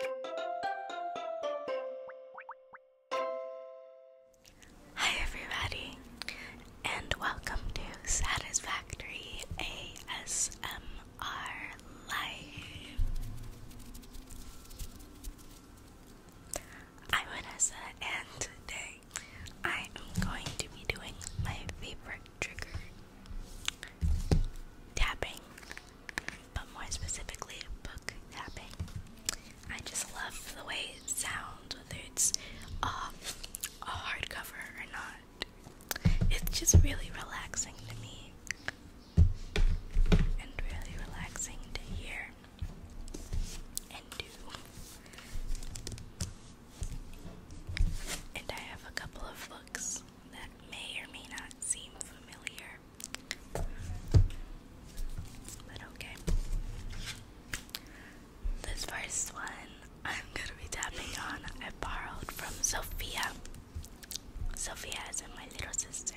Hi, everybody, and welcome to Satisfactory ASMR Live. I'm Vanessa, and today I am going to be doing my favorite trigger tapping but more specifically book tapping. I just love the way it sounds, whether it's a hardcover or not. It's just really relaxing to me and really relaxing to hear and do. And I have a couple of books that may or may not seem familiar. But okay. This first one I'm gonna be tapping on, I borrowed from Sophia. Sophia is my little sister.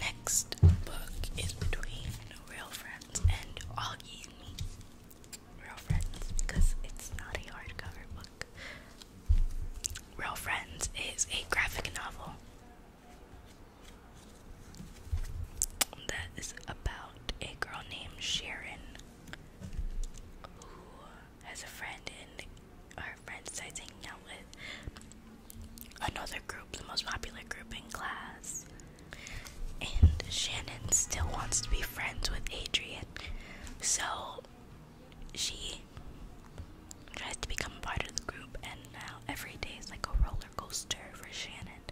Next book is between real friends and Augie and me. Real friends because it's not a hardcover book. Real Friends is a graphic novel that is about a girl named Sharon who has a friend and our friend decides hanging out with another group, the most popular group in class. And Shannon still wants to be friends with Adrian. So she tries to become part of the group, and now every day is like a roller coaster for Shannon.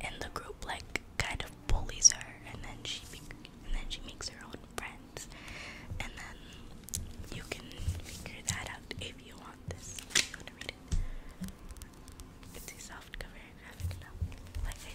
And the group like kind of bullies her, and then she and then she makes her own friends, and then you can figure that out if you want this. you want to read it? It's a soft cover graphic novel, like I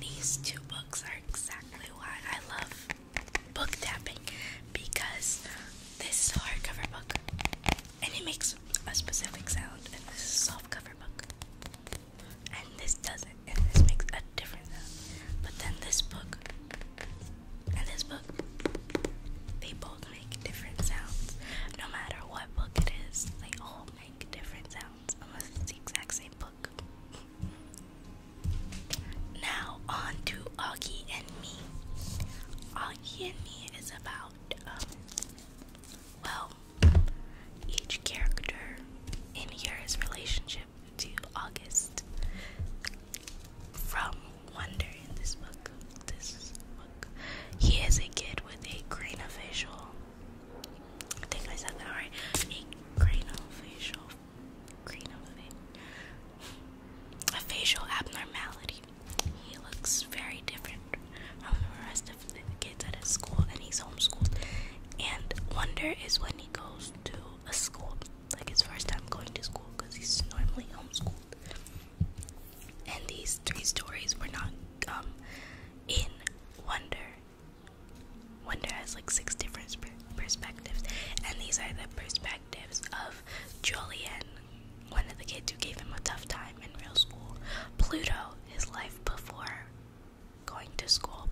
These two books are exactly why I love book tapping because this is a hardcover book and it makes a specific sound, and this is a soft cover book, and this doesn't, and this makes a different sound. But then this book and this book, they both make different sounds. No matter what book it is, they all make different sounds unless it's the exact same book. Now on to Augie and me. Augie and me is about um, well, each character in here's relationship to August. From Wonder in this book, this book, he is a kid with a craniofacial. I think I said that right. A craniofacial, craniofacial, a facial abnormality. He looks very different from the rest of the kids at his school, and he's homeschooled. And wonder is when he goes to a school, like his first time going to school, because he's normally homeschooled. And these three stories were not um, in wonder. Wonder has like six different perspectives, and these are the perspectives of Julian, one of the kids who gave him a tough time in real school, Pluto, his life before going to school,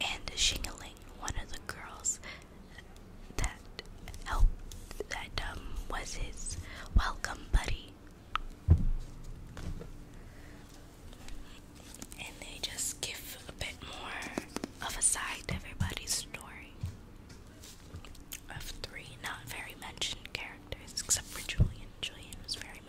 and Shingling, one of the girls that helped, that um, was his welcome buddy and they just give a bit more of a side to everybody's story of three not very mentioned characters except for Julian. Julian was very mentioned.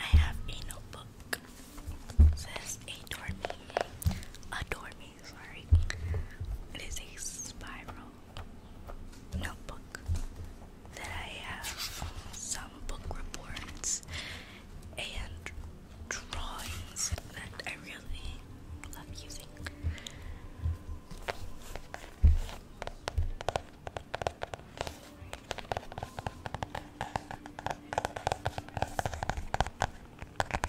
I have a notebook. says adore me. Adore me sorry. It is a spiral notebook that I have some book reports and drawings that I really love using.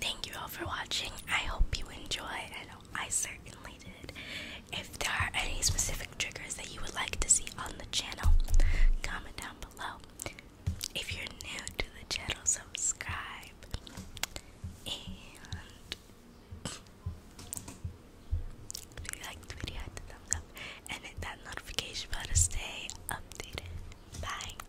Thank you all for watching. I hope you enjoy, and I certainly did. If there are any specific triggers that you would like to see on the channel, comment down below. If you're new to the channel, subscribe. And if the video, hit the thumbs up and hit that notification bell to stay updated. Bye.